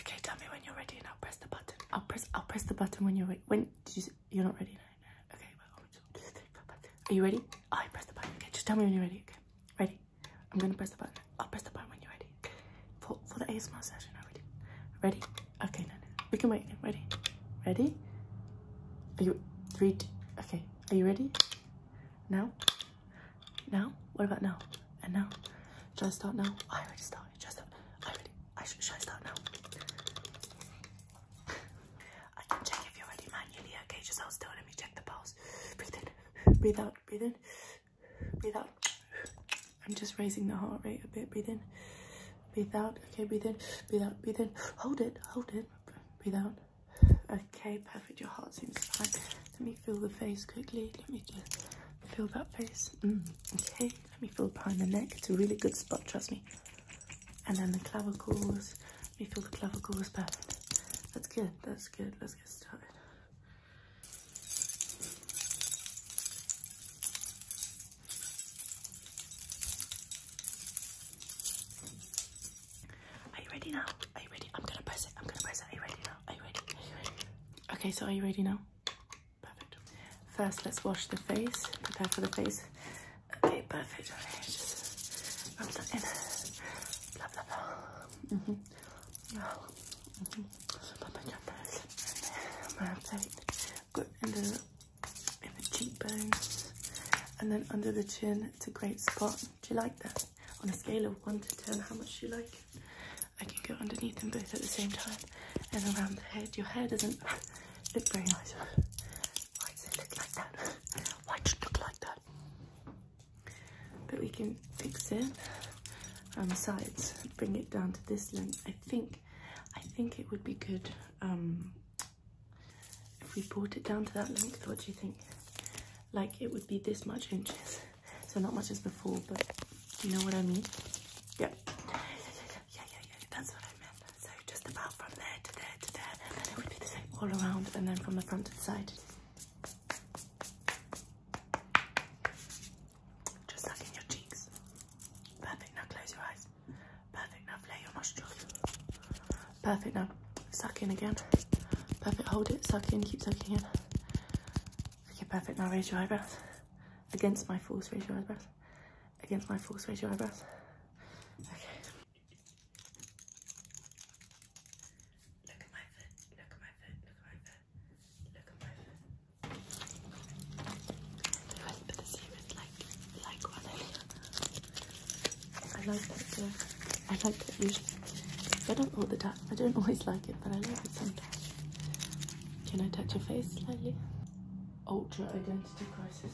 Okay, tell me when you're ready and I'll press the button. I'll press I'll press the button when you're ready. When you, are not ready now. Okay, Are you ready? Oh, I press the button. Okay, just tell me when you're ready. Okay. Ready? I'm gonna press the button. I'll press the button when you're ready. For for the ASMR session already. Ready? Okay, no, We can wait again. Ready? Ready? Are you three? okay. Are you ready? No? No? What about now? And now? Should I start now? I already started. Should I start? I already. I should, should I start now? I can check if you're ready manually. Okay, just hold still. Let me check the pulse. Breathe in. Breathe out. Breathe in. Breathe out. I'm just raising the heart rate a bit. Breathe in. Breathe out. Okay, breathe in. Breathe out. Breathe in. Hold it. Hold it. Breathe out. Okay, perfect. Your heart seems fine. Let me feel the face quickly. Let me just feel that face. Mm, okay, let me feel behind the neck. It's a really good spot, trust me. And then the clavicles. Let me feel the clavicles. Perfect. That's good. That's good. Let's get started. Are you ready now? Are you ready? I'm gonna press it. I'm gonna press it. Are you ready now? Are you ready? Are you ready? Okay, so are you ready now? Perfect. First, let's wash the face. Prepare for the face. Okay, perfect. I'm rub that in. Blah blah blah. Mhm. Mm mhm. Mm And the in the cheekbones, and then under the chin. It's a great spot. Do you like that? On a scale of 1 to 10, how much do you like I can go underneath them both at the same time and around the head. Your hair doesn't look very nice. Why does it look like that? Why does it look like that? But we can fix it And um, the sides, bring it down to this length. I think I think it would be good um, if we brought it down to that length, what do you think? Like it would be this much inches. So not much as before, but you know what I mean? Yeah. Yeah, yeah, yeah, yeah. That's what I meant. So just about from there to there to there, and then it would be the same all around, and then from the front to side. Just like in your cheeks. Perfect. Now close your eyes. Perfect. Now flare your nostrils. Perfect, now suck in again. Perfect, hold it, suck in, keep sucking in. Okay, perfect, now raise your eyebrows. Against my force, raise your eyebrows. Against my force, raise your eyebrows. Okay. I like that I like that usually. I don't all the time. I don't always like it, but I like it sometimes. Can I touch your face slightly? Ultra identity crisis.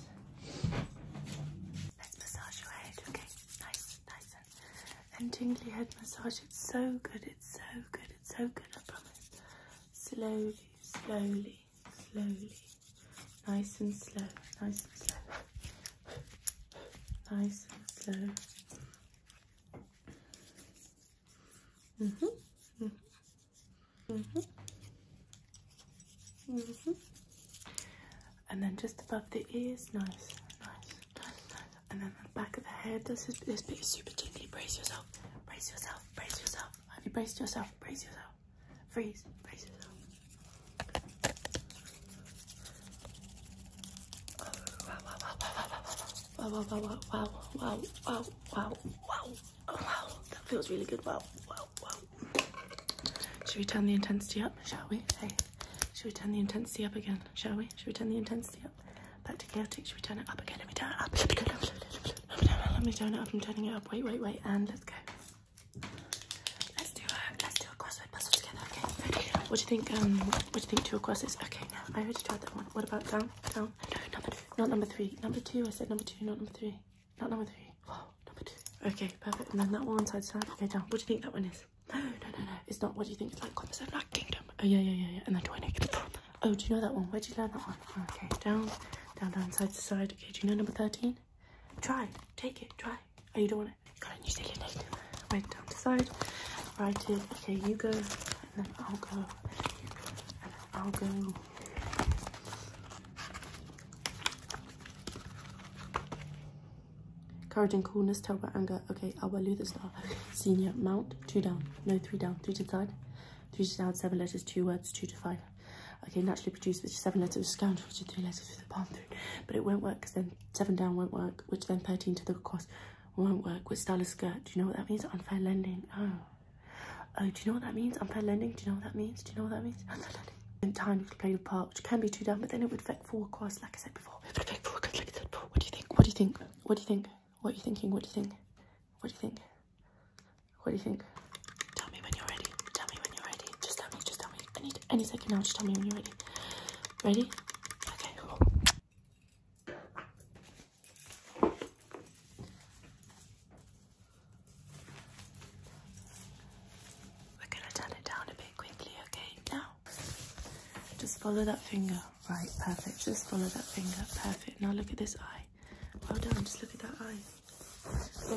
Let's massage your head, okay? Nice, nice and, tingly head massage. It's so good, it's so good, it's so good, I promise. Slowly, slowly, slowly. Nice and slow, nice and slow. Nice and slow. hmm hmm hmm -hmm. And then just above the ears, nice, nice, nice, nice. And then the back of the head, this, is, this bit is super tingly. Brace yourself, brace yourself, brace yourself. Have you braced yourself? Brace yourself. Freeze, brace yourself. Wow, wow, wow, wow, wow, wow, wow, wow, wow, oh, wow, that feels really good, wow, wow, wow. Should we turn the intensity up, shall we? Hey, should we turn the intensity up again, shall we? Should we turn the intensity up? Back to chaotic, should we turn it up again? Let me turn it up, let me turn it up, let me turn it up, I'm turning it up, wait, wait, wait, and let's go. Let's do a let's do a crossword puzzle together, okay? What do you think? Um, what do you think two across is? Okay, now I already tried that one. What about down? Down? No, number two. Not number three. Number two. I said number two, not number three. Not number three. Oh, number two. Okay, perfect. And then that one side side. Okay, down. What do you think that one is? No, no, no, no. It's not. What do you think? It's like Concept Black Kingdom. Oh yeah, yeah, yeah, yeah. And then twenty. Oh, do you know that one? Where'd you learn that one? okay, down, down, down, side to side. Okay, do you know number thirteen? Try. Take it. Try. Oh, you don't want it. God, you said you did. Wait, down the side. Write it. Okay, you go. And then I'll go. And then I'll go. Courage and coolness, Tell terrible anger. Okay, I Albert Luther Star. Senior, mount, two down. No, three down. Three to the side. Three to down, seven letters, two words, two to five. Okay, naturally produced, which seven letters, scoundrel, which letters, through the palm through, but it won't work because then seven down won't work, which then 13 to the cross won't work with style of skirt. Do you know what that means? Unfair lending. Oh. Oh, do you know what that means? Unfair lending. Do you know what that means? Do you know what that means? Unfair lending. In time, you could play the part, which can be two down, but then it would affect four across, like I said before. It would affect four across, like I said before. What do you think? What do you think? What do you think? What are you thinking? What do you think? What do you think? What do you think? Tell me when you're ready. Tell me when you're ready. Just tell me. Just tell me. I need any second now. Just tell me when you're ready. Ready? Okay, We're gonna turn it down a bit quickly, okay? Now, just follow that finger. Right, perfect. Just follow that finger. Perfect. Now look at this eye. Well done. Just look at that eye. That's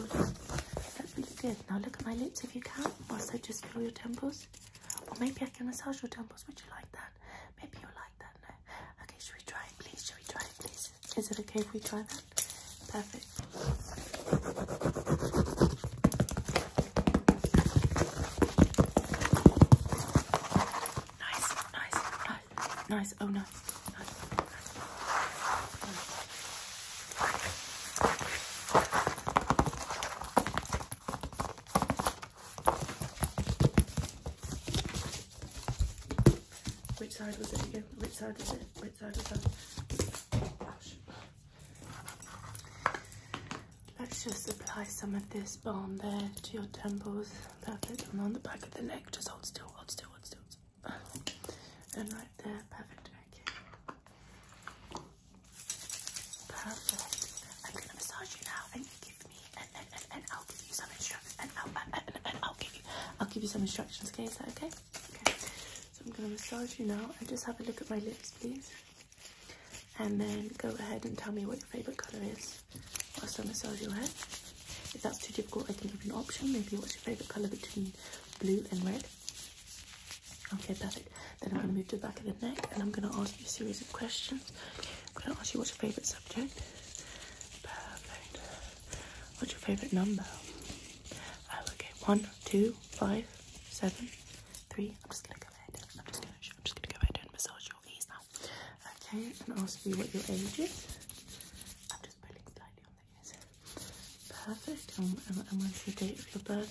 really good. Now look at my lips if you can, Also, just feel your temples. Or maybe I can massage your temples. Would you like that? Maybe you'll like that. No. Okay, should we try it, please? Should we try it, please? Is it okay if we try that? Perfect. Nice, nice, nice, nice. Oh, nice, which side was it again? Which side was it? Which side was that? Let's just apply some of this balm there to your temples. Perfect. And on the back of the neck, just hold still, hold still, hold still right Perfect. Okay. Perfect. I'm going to massage you now, and give me, and, and, and, and I'll give you some instructions, and I'll, and, and, and I'll give you, I'll give you some instructions. Okay, is that okay? Okay. So I'm going to massage you now, and just have a look at my lips, please. And then go ahead and tell me what your favorite color is whilst I massage your head. If that's too difficult, I can give you an option. Maybe what's your favorite color between blue and red? Okay, perfect. Then I'm going to move to the back of the neck and I'm going to ask you a series of questions. I'm going to ask you what's your favourite subject? Perfect. What's your favourite number? Oh, okay. One, two, five, seven, three. I'm just going to go ahead I'm just going to, I'm just going to go ahead and massage your knees now. Okay, and ask you what your age is. Perfect. Oh, and, what's your date of your birth?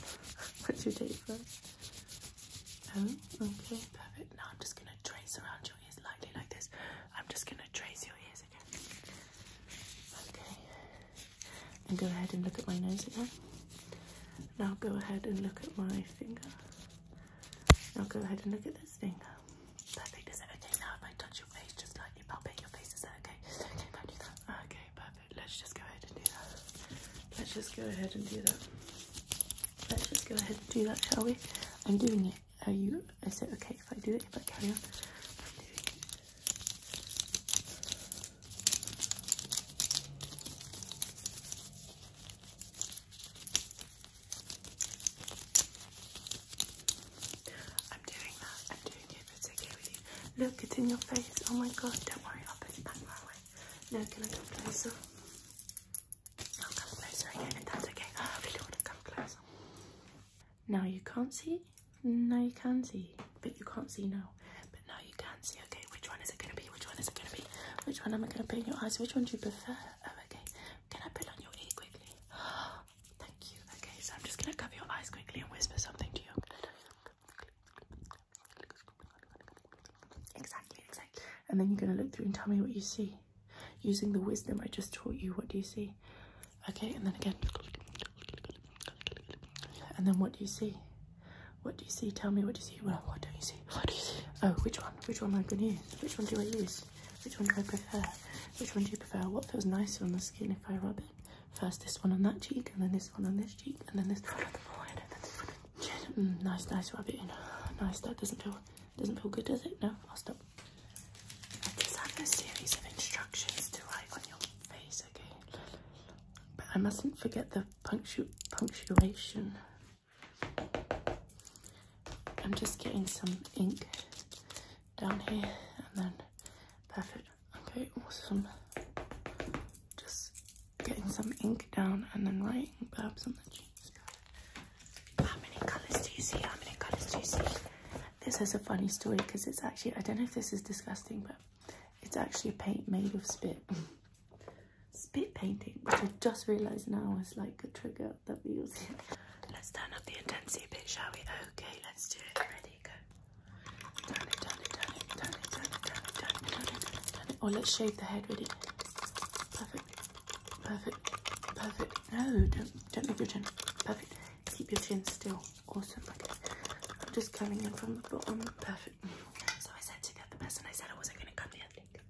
what's your date for birth? Oh, okay. Perfect. Now I'm just going to trace around your ears lightly like this. I'm just going to trace your ears again. Okay. And go ahead and look at my nose again. Now go ahead and look at my finger. Now go ahead and look at this finger. Perfect. Is it okay now if I touch your face just lightly, palpate your face? Is that okay? Okay, perfect. Let's just go ahead and do that. Let's just go ahead and do that. Let's just go ahead and do that, shall we? I'm doing it. Are you? I said, okay if I do it? If I carry on? I'm it. I'm doing that. I'm doing it, but it's with you. Look, it's in your face. Oh my god, don't worry, I'll put it back my way. No, can I come closer? I'll come closer again, if okay. Oh, I really want come closer. Now you can't see? Now you can see. But you can't see now. But now you can see. Okay, which one is it going to be? Which one is it going to be? Which one am I going to put in your eyes? Which one do you prefer? Oh, okay. Can I put on your ear quickly? Thank you. Okay, so I'm just going to cover your eyes quickly and whisper something to you. Exactly, exactly. And then you're going to look through and tell me what you see. Using the wisdom I just taught you, what do you see? Okay, and then again. And then what do you see? What do you see? Tell me what do you see? what don't you see? What do you see? Oh, which one? Which one am I going to use? Which one do I use? Which one do I prefer? Which one do you prefer? What feels nicer on the skin if I rub it? First this one on that cheek, and then this one on this cheek, and then this one on the forehead, and then this one mm, nice, nice, rub it in. Nice, that doesn't feel, doesn't feel good, does it? No, I'll stop. I just have a series of instructions to write on your face, okay? But I mustn't forget the punctu punctuation. I'm just getting some ink down here, and then, perfect. Okay, awesome. Just getting some ink down and then writing babs on the cheeks. How many colours do you see? How many colours do you see? This has a funny story because it's actually, I don't know if this is disgusting, but it's actually a paint made of spit. spit painting, which I just realised now is like a trigger that we use. Let's turn up the intensity a bit, shall we? Okay, let's do it. Ready, go. Turn let's shave the head with it. Perfect. Perfect. Perfect. No, don't don't move your chin. Perfect. Keep your chin still. Awesome. I'm just coming in from the bottom. Perfect. So I said to the person, I said I wasn't gonna cut the ethnic. And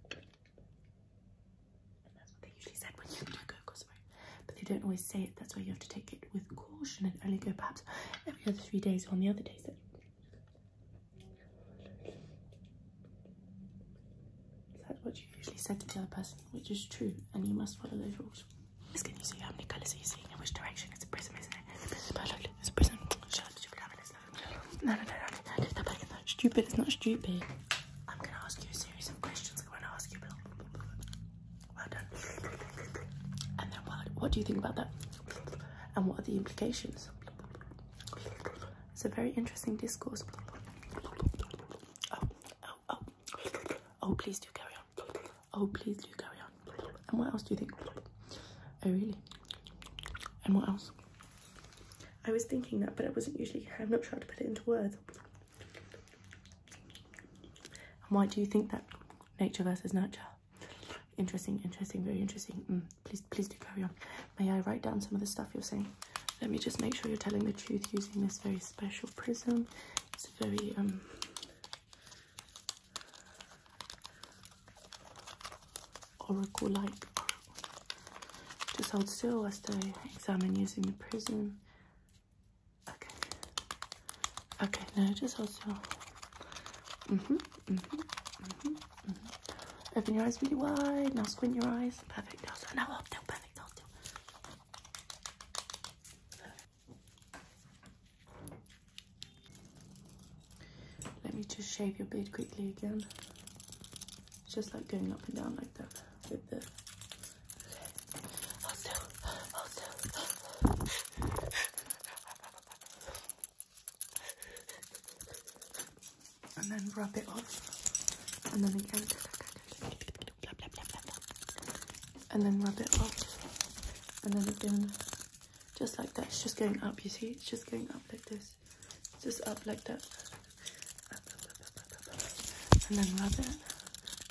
but you don't always say it. That's why you have to take it with caution and only go perhaps every other three days on the other days that that's what you usually said to the other person, which is true, and you must follow those rules. This you see how many colours are you seeing in which direction? It's a prism, isn't it? It's a prism. Oh, look, it's a prism. Shut up, stupid It's no, no, no, no, no. back in there. Stupid, it's not stupid. I'm gonna ask you a series of questions. I'm gonna ask you. Blah, blah, blah, and then what, do you think about that? And what are the implications? It's a very interesting discourse. Oh, oh, oh. Oh, please do carry on. Oh, please do carry on. And what else do you think? Oh, really? And what else? I was thinking that, but I wasn't usually, I'm not sure how to put it into words. And why do you think that? nature versus nurture. Interesting, interesting, very interesting. Mm, please, please do carry on. May I write down some of the stuff you're saying? Let me just make sure you're telling the truth using this very special prism. It's very um. Oracle like. Just hold still as I examine using the prism. Okay. Okay, now just hold still. Mm-hmm, mm-hmm, mm-hmm, hmm Open your eyes really wide. Now squint your eyes. Perfect. Do. now up Perfect. Hold Let me just shave your beard quickly again. just like going up and down like that with the and then rub it off. And then again. And then rub it off. And then again. Just like that. It's just going up, you see? It's just going up like this. just up like that. and then rub it.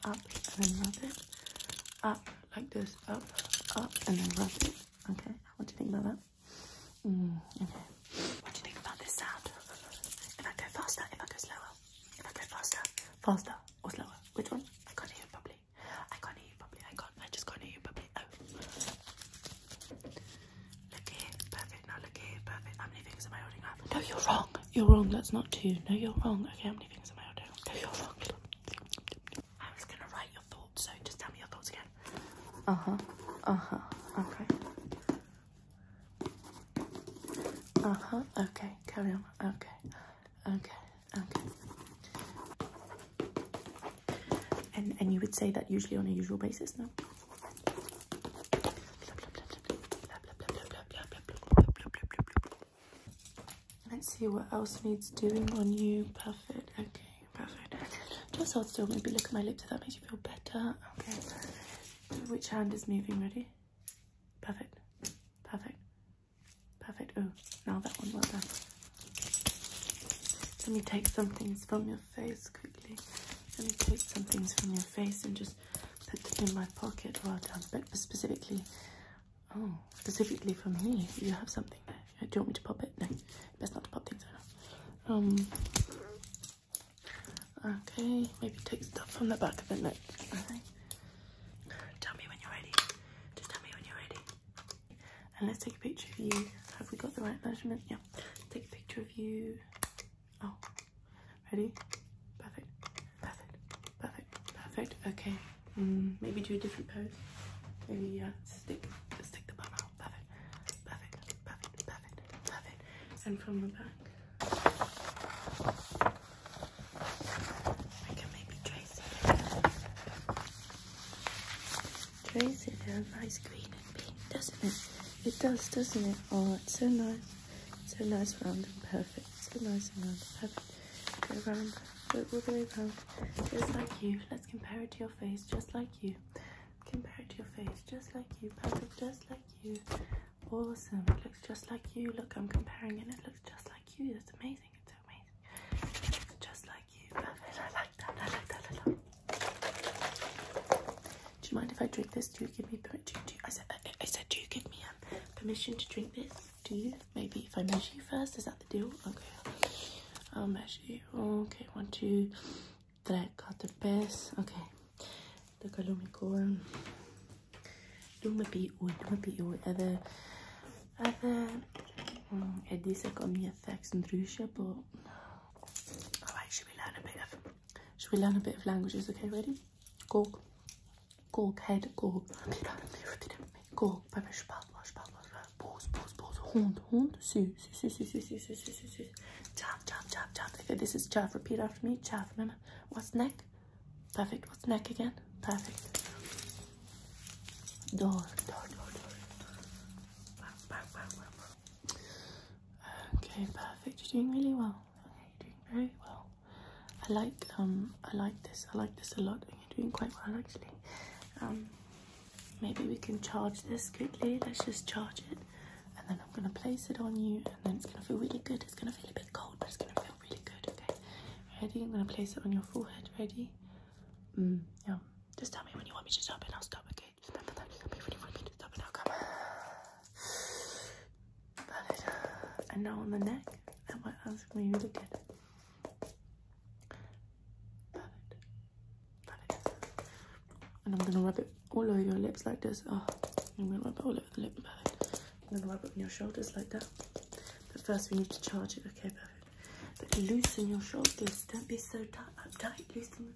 Up. And then rub it. Up like this, up, up, and then rub it. Okay, what do you think about that? Mm, okay. What do you think about this sound? If I go faster, if I go slower, if I go faster, faster or slower, which one? I can't hear you properly. I can't hear you properly. I can't. I just can't hear you properly. Oh. Look here, perfect. Now look here, perfect. How many fingers am I holding up? No, you're wrong. You're wrong. That's not two. No, you're wrong. Okay, I'm uh huh. Uh huh. Okay. Uh huh. Okay. Carry on. Okay. Okay. Okay. And and you would say that usually on a usual basis, no? Let's see what else needs doing on you. Perfect. Okay, perfect. Just hold still. Maybe look at my lips if that makes you feel better. Okay. Which hand is moving? Ready? Perfect. Perfect. Perfect. Oh, now that one. Well done. Let me take some things from your face quickly. Let me take some things from your face and just put them in my pocket. Well done. But specifically Oh, specifically for me, you have something there. Uh, do you want me to pop it? No, best not to pop things out. Um, okay, maybe take stuff from the back of the neck. Tell me when you're ready. Just tell me when you're ready. And let's take a picture of you. Have we got the right measurement? Yeah. Take a picture of you. Oh, ready? Perfect. Perfect, perfect, perfect. Okay, mm, maybe do a different pose. Maybe uh, stick, stick the bum out. Perfect, perfect, perfect, perfect, perfect. And from the back, I can maybe trace it. Trace it down nice green and pink, doesn't it? It does, doesn't it? Oh, it's so nice. So nice, round and perfect. So nice and round and perfect. Go round, but just like you. Let's compare it to your face, just like you. Compare it to your face, just like you. Perfect, just like you. Awesome. It looks just like you. Look, I'm comparing and It looks just like you. That's amazing. It's so amazing. It looks just like you. Perfect. I like that. I like that a lot. Do you mind if I drink this? Do you give me do, do, I said I, said do you give me um, permission to drink this? Do you? Maybe if I measure you first, is that the deal? Okay, I'll measure you. Okay, one, two, tres, cuatro, pes. Okay, така люми корм. Дума пи у, дума пи у. Edhe, edhe, e di se kom një theks ndryshe, po... Alright, should we learn a bit of, should we learn a mm, bit of languages? Okay, ready? Coke. Gol, head, gol. Gol, pepper, spatler, spatler. Boos, boos, boos. Hond, hond. Su, su, su, su, su, su, su, su, su, su. Chaff, chaff, chaff, chaff. Okay, this is chaff. Repeat after me. Chaff, remember? What's neck? Perfect. What's neck again? Perfect. Door, door, door, door. Back, back, back, back. Okay, perfect. You're doing really well. Okay, you're doing very well. I like um I like this I like this a lot and you're doing quite well actually um maybe we can charge this quickly let's just charge it and then I'm gonna place it on you and then it's gonna feel really good it's gonna feel a bit cold but it's gonna feel really good okay ready I'm gonna place it on your forehead ready mm, yeah just tell me when you want me to stop and I'll stop okay just remember that just tell me when you want me to stop and I'll come but and now on the neck, I want us when you look at it. Love And I'm gonna rub it all over your lips like this. Oh, I'm gonna rub it all over the lip. Perfect. I'm gonna rub it on your shoulders like that. But first we need to charge it. Okay, perfect. But loosen your shoulders. Don't be so tight. tight. Loosen,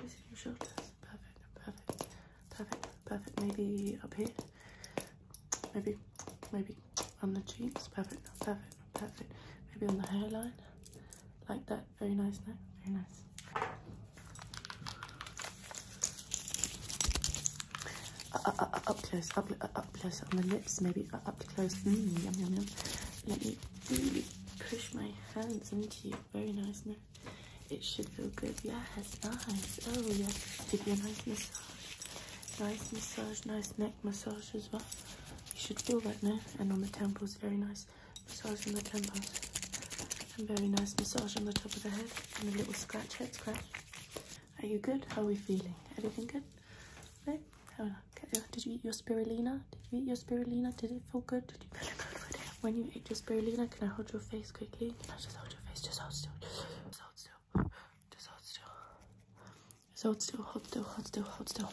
loosen your shoulders. Perfect. Perfect. Perfect. Perfect. Maybe up here. Maybe maybe on the cheeks, perfect, perfect, perfect, maybe on the hairline, like that, very nice now, very nice. Uh, uh, uh, up close, up, up close on the lips, maybe up close, mm, yum yum yum, let me really push my hands into you, very nice now. It should feel good. Yes, nice. Oh, yes. Give you nice Nice massage, nice neck massage as well. You should feel that now. And on the temples, very nice massage on the temples. And very nice massage on the top of the head. And a little scratch, head scratch. Are you good? How are we feeling? Everything good? No? okay. Uh, did you eat your spirulina? Did you eat your spirulina? Did it feel good? Did you feel good with it? When you ate your spirulina, can I hold your face quickly? Can I just hold your face? Just hold still. Just hold still still. Just hold still. Just hold still, hold still, hold still, hold still.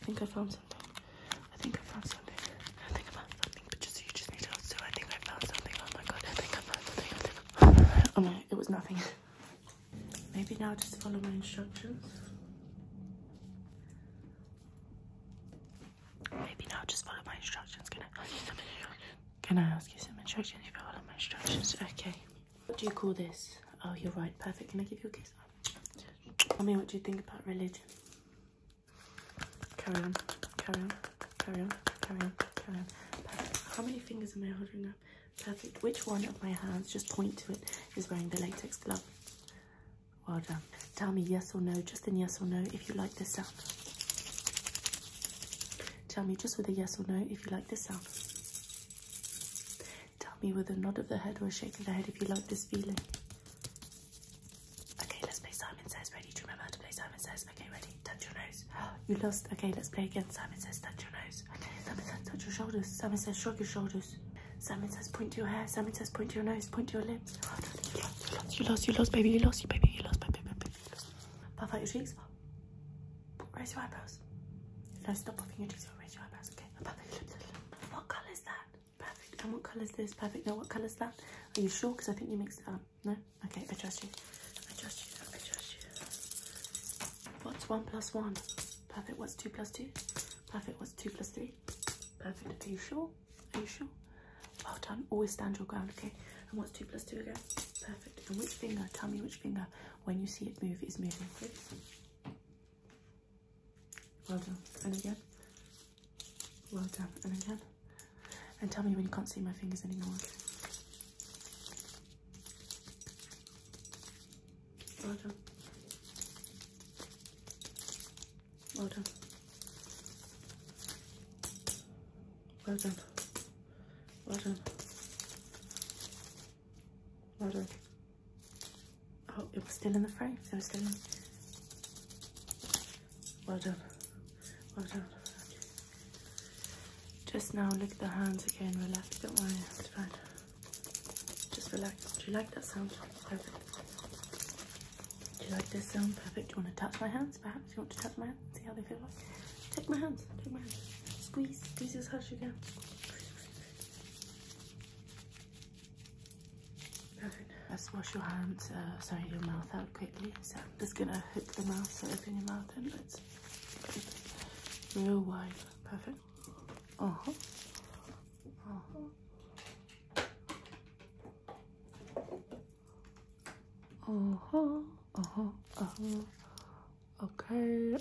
I think I found something. I think I found something. I think I found something, but just you just need to hold still. I think I found something. Oh my god, I think I found something. Oh no, it was nothing. Maybe now just follow my instructions. Maybe now just follow my instructions. Can can I ask you some instructions? You follow my instructions. Okay. What do you call this? Oh, you're right. Perfect. Can I give you a kiss? Tell me what you think about religion? Carry on. Carry on. Carry on. Carry on. Carry on. Perfect. How many fingers am I holding up? Perfect. Which one of my hands, just point to it, is wearing the latex glove? Well done. Tell me yes or no, just in yes or no, if you like this sound. Tell me just with a yes or no if you like this sound. Tell me with a nod of the head or a shake of the head if you like this feeling. Okay, let's play Simon Says. Ready? remember to play Simon Says? Okay, ready? Touch your nose. You lost. Okay, let's play again. Simon Says, touch your nose. Okay, Simon Says, touch your shoulders. Simon Says, shrug your shoulders. Simon Says, point to your hair. Simon Says, point to your nose. Point to your lips. you, lost, you lost, you lost, you lost, baby. You lost, you baby. You lost, baby, baby. baby out your cheeks. Raise your eyebrows. No, stop your cheeks, you. So raise your eyebrows. Okay. Perfect. What color is that? Perfect. And what color is this? Perfect. Now, what color is that? Are you sure? Because I think you mixed up. No? Okay. I trust you. I trust you. I trust you. What's one plus one? Perfect. What's two plus two? Perfect. What's two plus three? Perfect. Are you sure? Are you sure? Well done. Always stand your ground. Okay. And what's two plus two again? Perfect. And which finger, tell me which finger, when you see it move, is moving, please. Well done. And again. Well done. And again. And tell me when you can't see my fingers anymore, okay? Well done. Well done. Well done. Bottom. Bottom. Oh, it was still in the frame. It was still in. Well done. Well done. Just now lick the hands again, relax, don't worry, it's fine. Just relax. Do you like that sound? Perfect. Do you like this sound? Perfect. Do you want to touch my hands perhaps? You want to touch my hands? See how they feel? Take my hands. Take my hands. Squeeze. Squeeze as Hush as you can. Perfect. Let's wash your hands, uh, sorry, your mouth out quickly. So I'm just gonna hook the mouth, so open your mouth and let's real wide. Perfect. Uh huh. Uh huh. Uh-huh, uh-huh, uh-huh. Okay.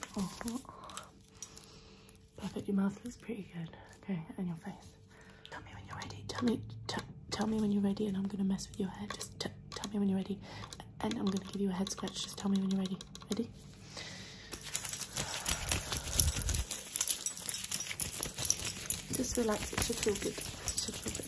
Perfect. Your mouth looks pretty good. Okay, and your face. Tell me when you're ready. Tell me. Tell me when you're ready, and I'm gonna mess with your hair. Just tell me when you're ready, and I'm gonna give you a head scratch. Just tell me when you're ready. Ready? Just relax. It should feel good. It should feel good.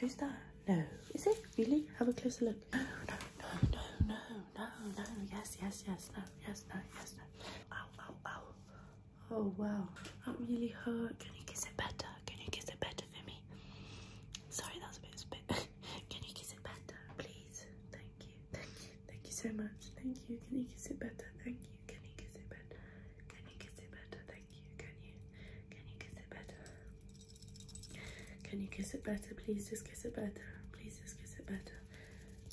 Who's that? No. Is it? Really? Have a closer look. No, no, no, no, no, no, no. Yes, yes, yes, no, yes, no, yes, no. Ow, ow, ow. Oh, wow. That really hurt. Can you kiss it better? Can you kiss it better for me? Sorry, that's a bit spit. Can you kiss it better, please? Thank you. Thank you. Thank you so much. Thank you. Can you kiss it better? Thank you. Can you kiss it better? Can you kiss it better? Thank can you can you kiss it better? Can you kiss it better? Please just kiss it better. Please just kiss it better.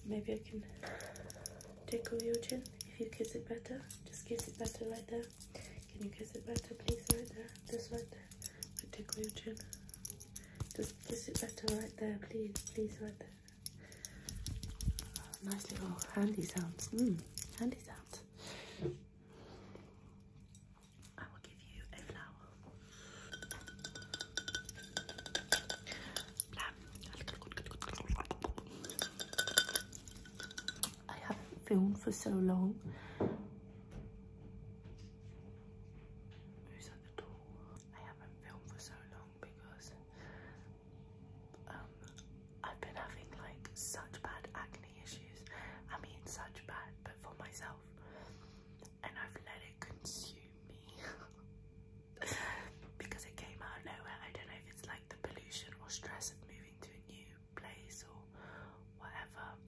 Maybe I can tickle your chin if you kiss it better. Just kiss it better right there. Can you kiss it better, please? Right there. Just right there. I tickle your chin. Just kiss it better right there, please, please, right there. Nice little handy sounds. Mm, handy sounds. I will give you a flower. I haven't filmed for so long. Who's at the door? I haven't filmed for so long because um, I've been having like such bad acne issues. I mean, such bad, but for myself, and I've let it consume me because it came out nowhere. I don't know if it's like the pollution or stress of moving to a new place or whatever,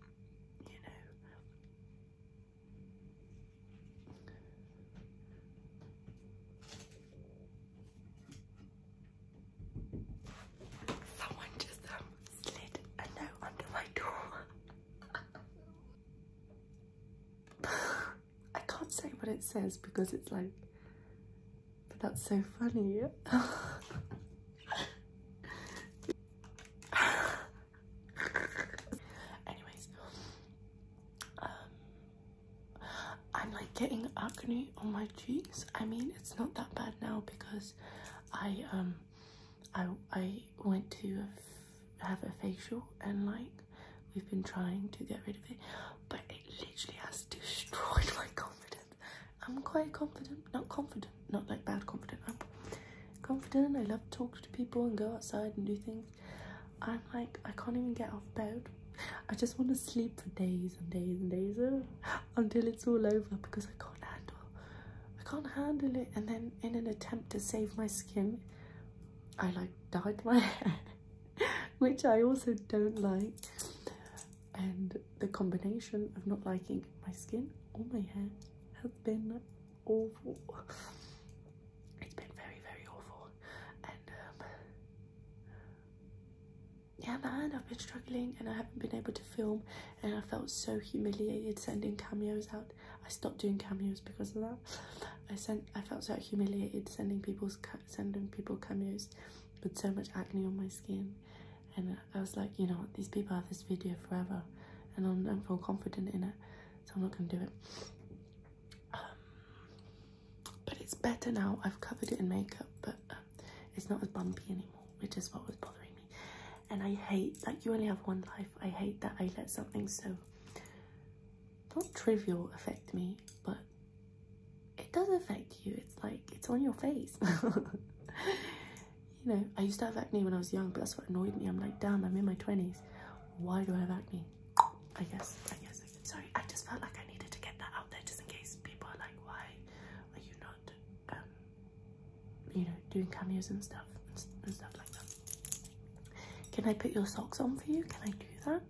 you know. Someone just um, slid a note under my door. I can't say what it says because it's like, but that's so funny. Anyways, um, I'm like getting acne on my cheeks. I mean, it's not that bad now because I um I I went to have a facial and like we've been trying to get rid of it, but it literally has destroyed my confidence. I'm quite confident, not confident, not like bad confident. I'm confident. I love to talk to people and go outside and do things. I'm like I can't even get off bed. I just want to sleep for days and days and days until it's all over because I can't handle I can't handle it and then in an attempt to save my skin I like dyed my hair which I also don't like and the combination of not liking my skin or my hair has been awful it's been very very awful and um, yeah man i've been struggling and i haven't been able to film and i felt so humiliated sending cameos out i stopped doing cameos because of that i sent i felt so humiliated sending people's sending people cameos with so much acne on my skin and i was like you know these people have this video forever and i'm don't feel confident in it so i'm not gonna do it um, but it's better now i've covered it in makeup but um, it's not as bumpy anymore, which is what was bothering me. And I hate, like, you only have one life. I hate that I let something so not trivial affect me, but it does affect you. It's like it's on your face. you know, I used to have acne when I was young, but that's what annoyed me. I'm like, damn, I'm in my 20s. Why do I have acne? I guess, I guess. Sorry, I just felt like I needed to get that out there just in case people are like, why? like you not, um, you know, doing cameos and stuff and stuff like that. Can I put your socks on for you? Can I do that?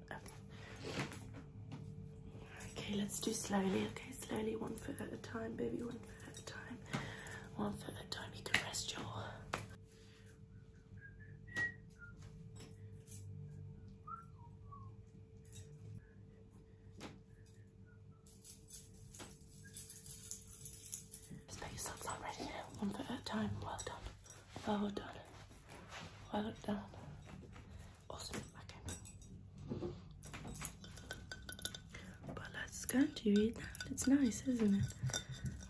Okay, let's do slowly. Okay, slowly, one foot at a time, baby. One foot at a time. One foot at a time. You can rest your. Just put your one at a time. Well done. Well done. Well done. Awesome. Okay. But let's go. Do you that? It's nice, isn't it?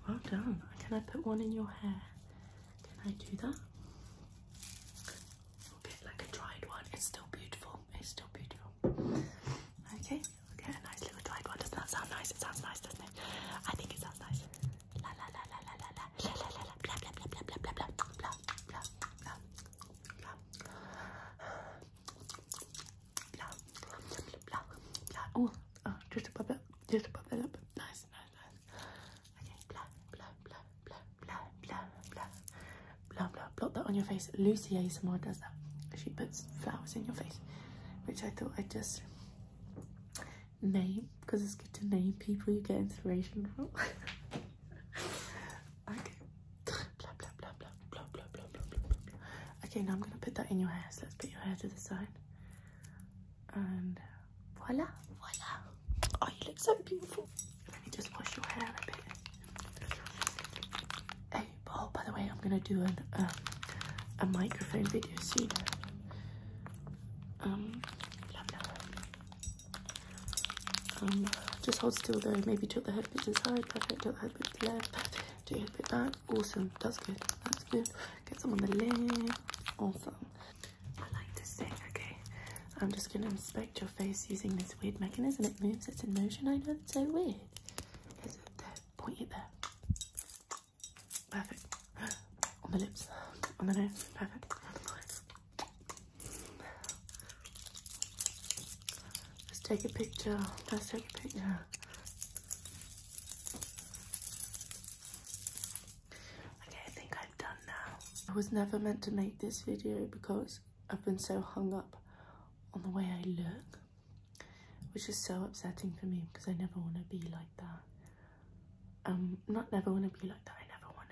Well done. Can I put one in your hair? Can I do that? a bit like a dried one. It's still beautiful. It's still beautiful. Okay, we'll get a nice little dried one. Doesn't that sound nice? It sounds nice, doesn't it? I think it sounds nice. La la la la la la la la la la la blah blah blah blah blah blah blah blah blah blah blah blah blah blah Oh, oh just above it, just above it up. Nice, nice, nice. Okay, blah blah blah blah blah, blah, blah, blah, blah. Blot that on your face. Lucy ASMR does that. She puts flowers in your face, which I thought I'd just name because it's good to name people you get inspiration from. okay. Blah, blah, blah, blah, blah, blah, blah, blah, blah, Okay, now I'm going to put that in your hair. So let's put your hair to the side. And voila, voila. Oh, you look so beautiful. Let me just push your head out a bit. Hey, oh, by the way, I'm gonna do an, um, a microphone video soon. Um, um, just hold still though. Maybe tilt the head a bit to the side. Perfect. Tilt the head a bit left. Perfect. Tilt the head a bit back. Awesome. That's good. That's good. Get some on the left. Awesome. I like this thing. Okay. I'm just gonna inspect your face using this weird mechanism. It moves. It's in motion. I know. It's so weird. Point it there. Perfect. On the lips. On the nose. Perfect. Let's take a picture. Let's take a picture. Okay, I think I'm done now. I was never meant to make this video because I've been so hung up on the way I look, which is so upsetting for me because I never want to be like that. Um, not never want to be like that. I never want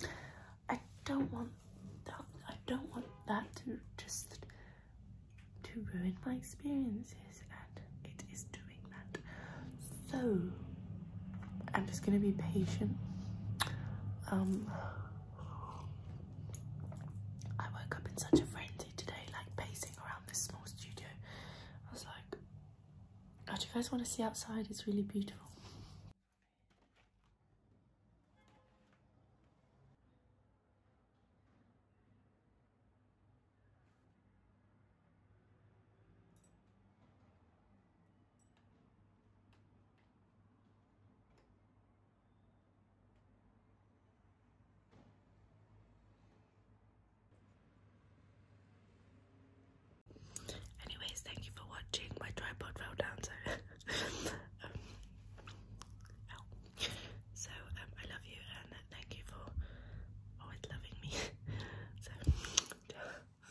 to let um. I don't want that. I don't want that to just to ruin my experiences, and it is doing that. So I'm just gonna be patient. Um, I woke up in such a frenzy today, like pacing around this small studio. I was like, do you guys wanna see outside? It's really beautiful. Anyways, thank you for watching. My tripod fell down, so um, so um, I love you and thank you for always loving me. so.